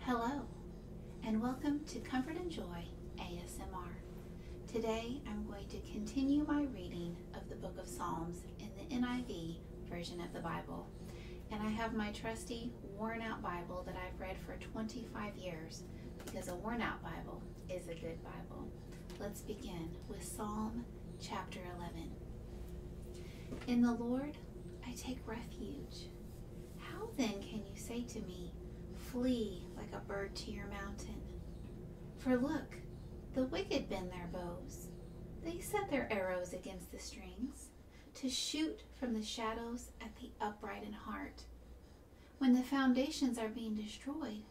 Hello, and welcome to Comfort and Joy ASMR. Today I'm going to continue my reading of the book of Psalms in the NIV version of the Bible. And I have my trusty worn out Bible that I've read for 25 years because a worn out Bible is a good Bible. Let's begin with Psalm chapter 11. In the Lord I take refuge. How then can you say to me, Flee like a bird to your mountain? For look, the wicked bend their bows. They set their arrows against the strings to shoot from the shadows at the upright in heart. When the foundations are being destroyed,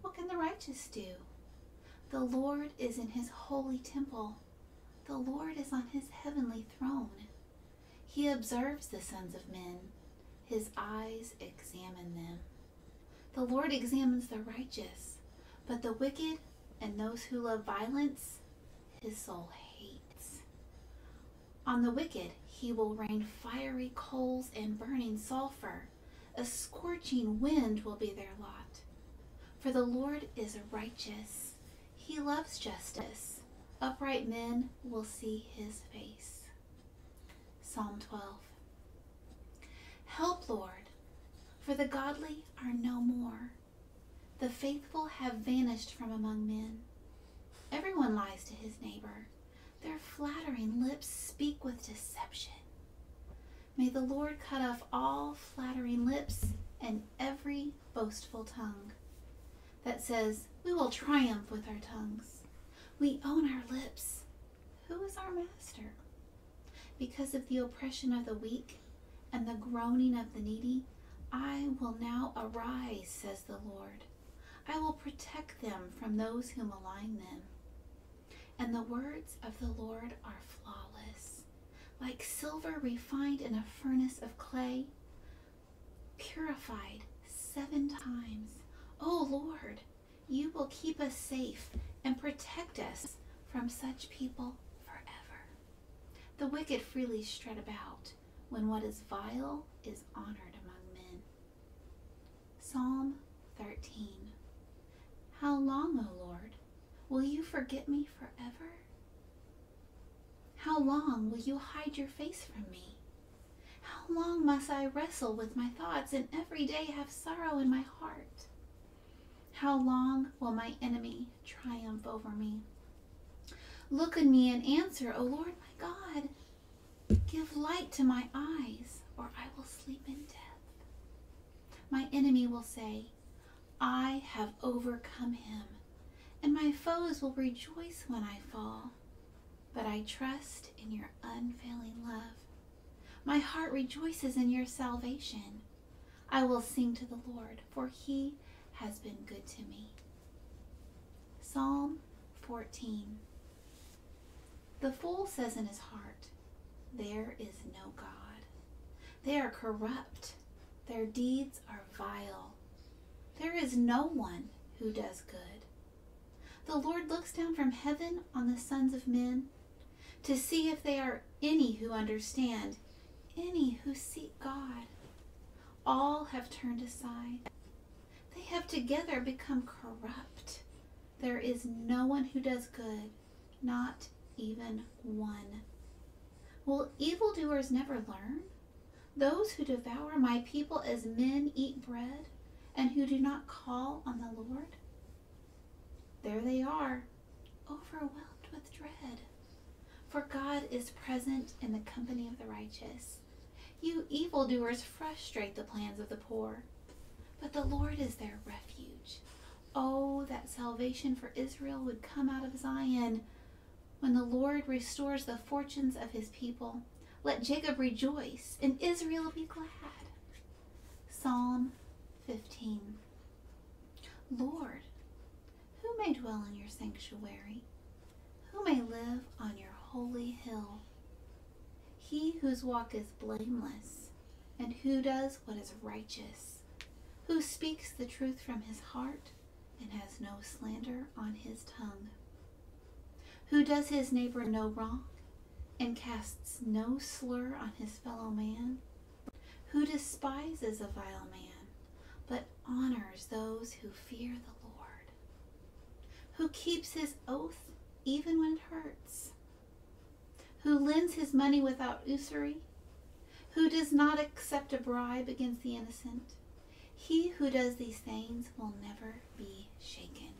what can the righteous do? The Lord is in his holy temple. The Lord is on his heavenly throne. He observes the sons of men. His eyes examine them. The Lord examines the righteous, but the wicked and those who love violence, his soul hates. On the wicked, he will rain fiery coals and burning sulfur. A scorching wind will be their lot. For the Lord is righteous, he loves justice. Upright men will see his face. Psalm 12. Help, Lord, for the godly are no more. The faithful have vanished from among men. Everyone lies to his neighbor. Their flattering lips speak with deception. May the Lord cut off all flattering lips and every boastful tongue that says, We will triumph with our tongues. We own our lips. Who is our master? Because of the oppression of the weak and the groaning of the needy, I will now arise, says the Lord. I will protect them from those who malign them. And the words of the Lord are flawless, like silver refined in a furnace of clay, purified seven times. O Lord, you will keep us safe and protect us from such people forever. The wicked freely strut about when what is vile is honored among men. Psalm 13. How long, O Lord, Will you forget me forever? How long will you hide your face from me? How long must I wrestle with my thoughts and every day have sorrow in my heart? How long will my enemy triumph over me? Look on me and answer, O Lord my God. Give light to my eyes, or I will sleep in death. My enemy will say, I have overcome him, and my foes will rejoice when I fall. But I trust in your unfailing love. My heart rejoices in your salvation. I will sing to the Lord, for he has been good to me. Psalm 14 the fool says in his heart, There is no God. They are corrupt. Their deeds are vile. There is no one who does good. The Lord looks down from heaven on the sons of men to see if there are any who understand, any who seek God. All have turned aside. They have together become corrupt. There is no one who does good, not even one. Will evildoers never learn? Those who devour my people as men eat bread, and who do not call on the Lord? There they are, overwhelmed with dread. For God is present in the company of the righteous. You evildoers frustrate the plans of the poor. But the Lord is their refuge. Oh, that salvation for Israel would come out of Zion. When the Lord restores the fortunes of his people, let Jacob rejoice and Israel be glad. Psalm 15 Lord, who may dwell in your sanctuary? Who may live on your holy hill? He whose walk is blameless, and who does what is righteous, who speaks the truth from his heart, and has no slander on his tongue, who does his neighbor no wrong, and casts no slur on his fellow man, who despises a vile man, but honors those who fear the Lord who keeps his oath even when it hurts, who lends his money without usury, who does not accept a bribe against the innocent. He who does these things will never be shaken.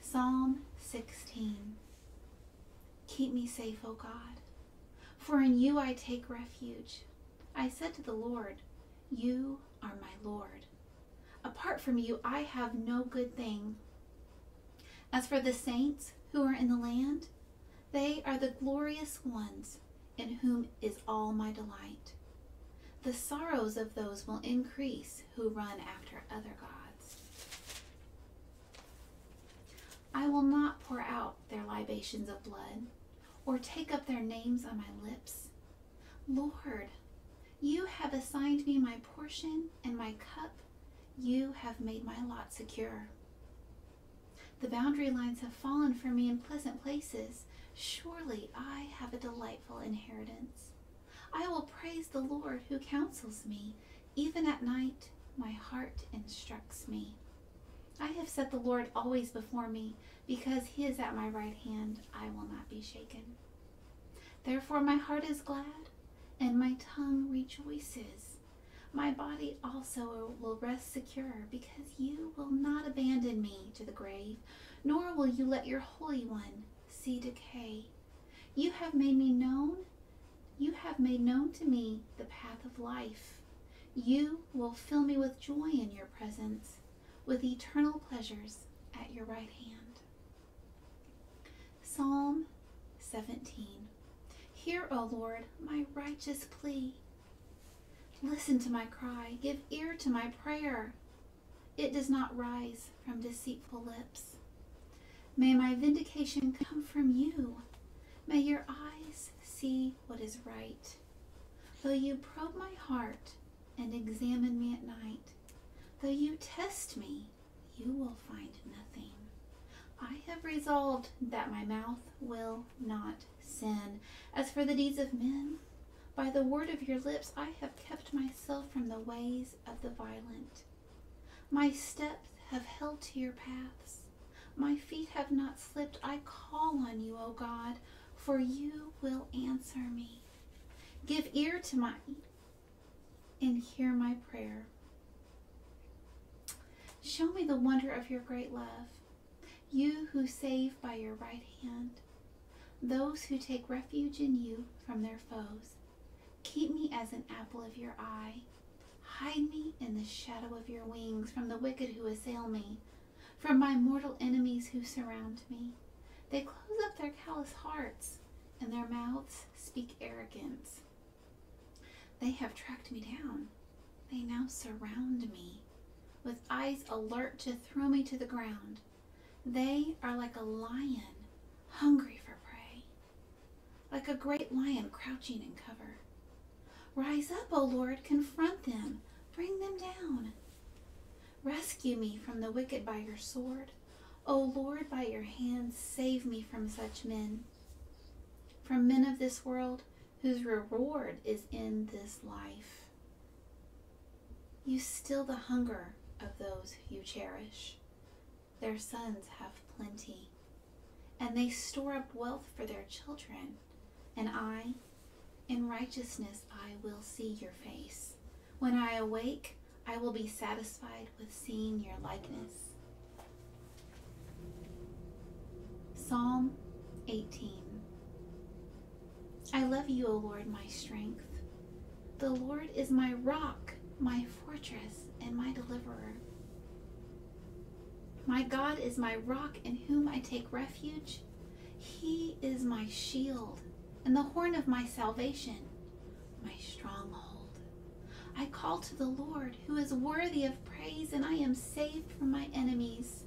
Psalm 16 Keep me safe, O God, for in you I take refuge. I said to the Lord, You are my Lord. Apart from you, I have no good thing. As for the saints who are in the land, they are the glorious ones in whom is all my delight. The sorrows of those will increase who run after other gods. I will not pour out their libations of blood or take up their names on my lips. Lord, you have assigned me my portion and my cup. You have made my lot secure. The boundary lines have fallen for me in pleasant places. Surely I have a delightful inheritance. I will praise the Lord who counsels me. Even at night, my heart instructs me. I have set the Lord always before me because he is at my right hand, I will not be shaken. Therefore, my heart is glad, and my tongue rejoices. My body also will rest secure, because you will not abandon me to the grave, nor will you let your Holy One see decay. You have made me known, you have made known to me the path of life. You will fill me with joy in your presence with eternal pleasures at your right hand. Psalm 17 Hear, O Lord, my righteous plea. Listen to my cry, give ear to my prayer. It does not rise from deceitful lips. May my vindication come from you. May your eyes see what is right though you probe my heart and examine me at night, though you test me, you will find nothing. I have resolved that my mouth will not sin. As for the deeds of men, by the word of your lips I have kept myself from the ways of the violent. My steps have held to your paths. My feet have not slipped. I call on you, O God for you will answer me. Give ear to my and hear my prayer. Show me the wonder of your great love, you who save by your right hand, those who take refuge in you from their foes. Keep me as an apple of your eye. Hide me in the shadow of your wings from the wicked who assail me from my mortal enemies who surround me. They close up their callous hearts, and their mouths speak arrogance. They have tracked me down. They now surround me, with eyes alert to throw me to the ground. They are like a lion, hungry for prey, like a great lion crouching in cover. Rise up, O Lord, confront them, bring them down. Rescue me from the wicked by your sword. O Lord, by your hand, save me from such men, from men of this world whose reward is in this life. You still the hunger of those you cherish. Their sons have plenty, and they store up wealth for their children. And I, in righteousness, I will see your face. When I awake, I will be satisfied with seeing your likeness. Psalm 18 I love you, O Lord, my strength. The Lord is my rock, my fortress, and my deliverer. My God is my rock in whom I take refuge. He is my shield and the horn of my salvation, my stronghold. I call to the Lord, who is worthy of praise, and I am saved from my enemies.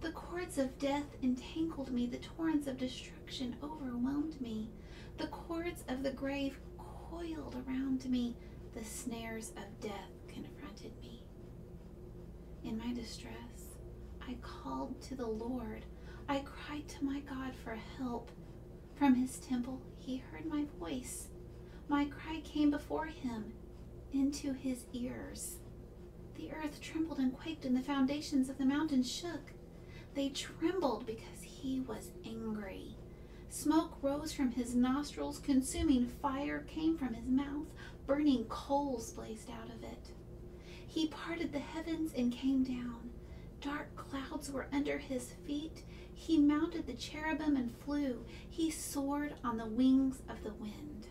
The cords of death entangled me, the torrents of destruction overwhelmed me, the cords of the grave coiled around me, the snares of death confronted me. In my distress, I called to the Lord. I cried to my God for help. From his temple, he heard my voice. My cry came before him into his ears. The earth trembled and quaked, and the foundations of the mountains shook. They trembled because he was angry. Smoke rose from his nostrils, consuming fire came from his mouth, burning coals blazed out of it. He parted the heavens and came down. Dark clouds were under his feet. He mounted the cherubim and flew. He soared on the wings of the wind.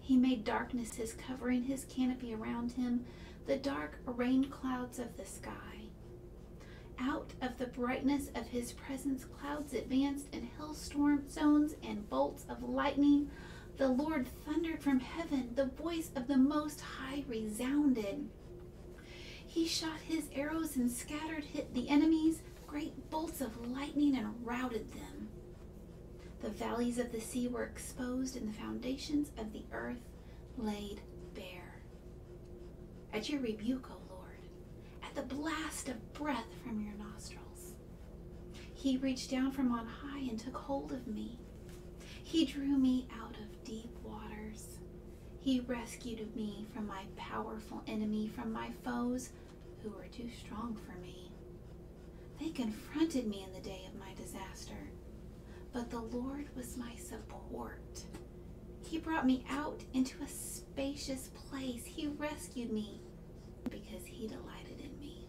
He made darkness his covering, his canopy around him, the dark rain clouds of the sky. Out of the brightness of his presence, clouds advanced and hailstorm zones and bolts of lightning. The Lord thundered from heaven, the voice of the Most High resounded. He shot his arrows and scattered hit the enemies, great bolts of lightning, and routed them. The valleys of the sea were exposed, and the foundations of the earth laid bare. At your rebuke, O Lord, at the blast of breath from your nostrils, he reached down from on high and took hold of me. He drew me out of deep waters. He rescued me from my powerful enemy, from my foes who were too strong for me. They confronted me in the day of my disaster, but the Lord was my support. He brought me out into a spacious place. He rescued me because he delighted in me.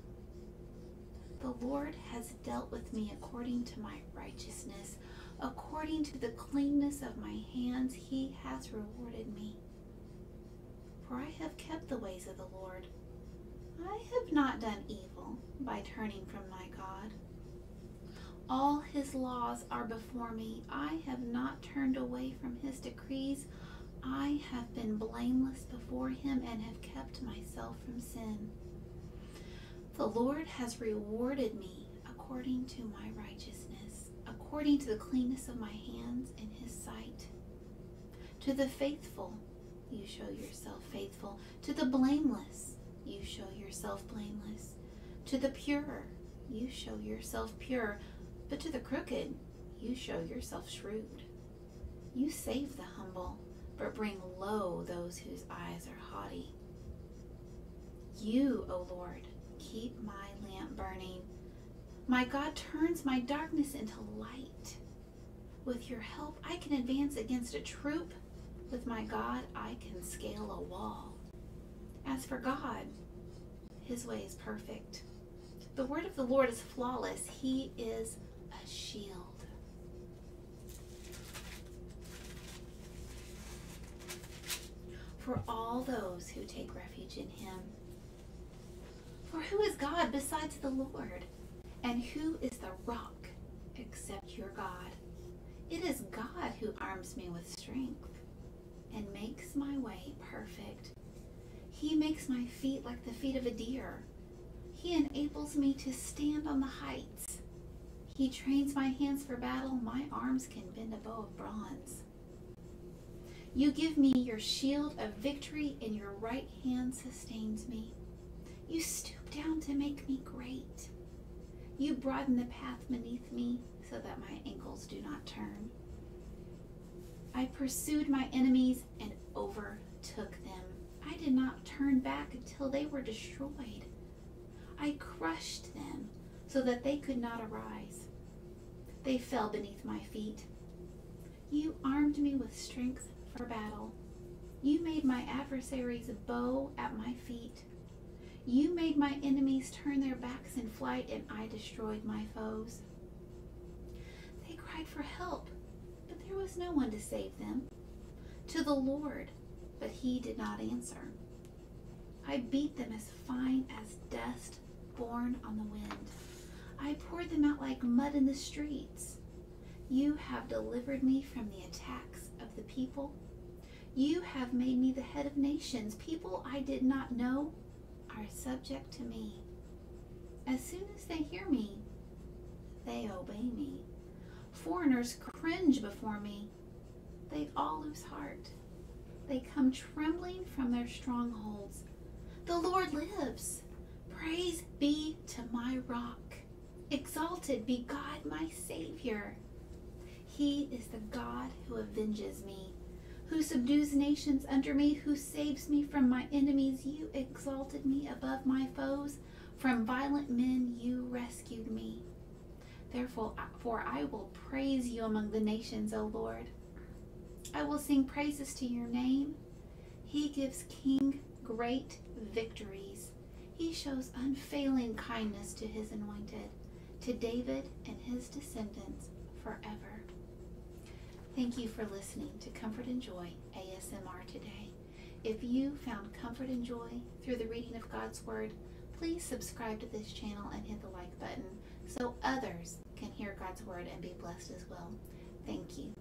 The Lord has dealt with me according to my righteousness. According to the cleanness of my hands, he has rewarded me. For I have kept the ways of the Lord. I have not done evil by turning from my God. All his laws are before me. I have not turned away from his decrees. I have been blameless before him and have kept myself from sin. The Lord has rewarded me according to my righteousness, according to the cleanness of my hands in his sight. To the faithful, you show yourself faithful. To the blameless, you show yourself blameless. To the pure, you show yourself pure, but to the crooked, you show yourself shrewd. You save the humble, but bring low those whose eyes are haughty. You, O Lord, keep my lamp burning. My God turns my darkness into light. With your help, I can advance against a troop with my God, I can scale a wall. As for God, his way is perfect. The word of the Lord is flawless. He is a shield. For all those who take refuge in him. For who is God besides the Lord? And who is the rock except your God? It is God who arms me with strength and makes my way perfect. He makes my feet like the feet of a deer. He enables me to stand on the heights. He trains my hands for battle. My arms can bend a bow of bronze. You give me your shield of victory, and your right hand sustains me. You stoop down to make me great. You broaden the path beneath me so that my ankles do not turn. I pursued my enemies and overtook them. I did not turn back until they were destroyed. I crushed them so that they could not arise. They fell beneath my feet. You armed me with strength for battle. You made my adversaries bow at my feet. You made my enemies turn their backs in flight, and I destroyed my foes. They cried for help, but there was no one to save them. To the Lord, but he did not answer. I beat them as fine as dust borne on the wind. I poured them out like mud in the streets. You have delivered me from the attacks of the people. You have made me the head of nations. People I did not know are subject to me. As soon as they hear me, they obey me. Foreigners cringe before me. They all lose heart. They come trembling from their strongholds. The Lord lives. Praise be to my rock. Exalted be God my Savior. He is the God who avenges me, who subdues nations under me, who saves me from my enemies. You exalted me above my foes. From violent men you rescued me. Therefore, for I will praise you among the nations, O Lord. I will sing praises to your name. He gives king great victories he shows unfailing kindness to his anointed, to David and his descendants forever. Thank you for listening to Comfort and Joy ASMR today. If you found comfort and joy through the reading of God's Word, please subscribe to this channel and hit the like button so others can hear God's Word and be blessed as well. Thank you.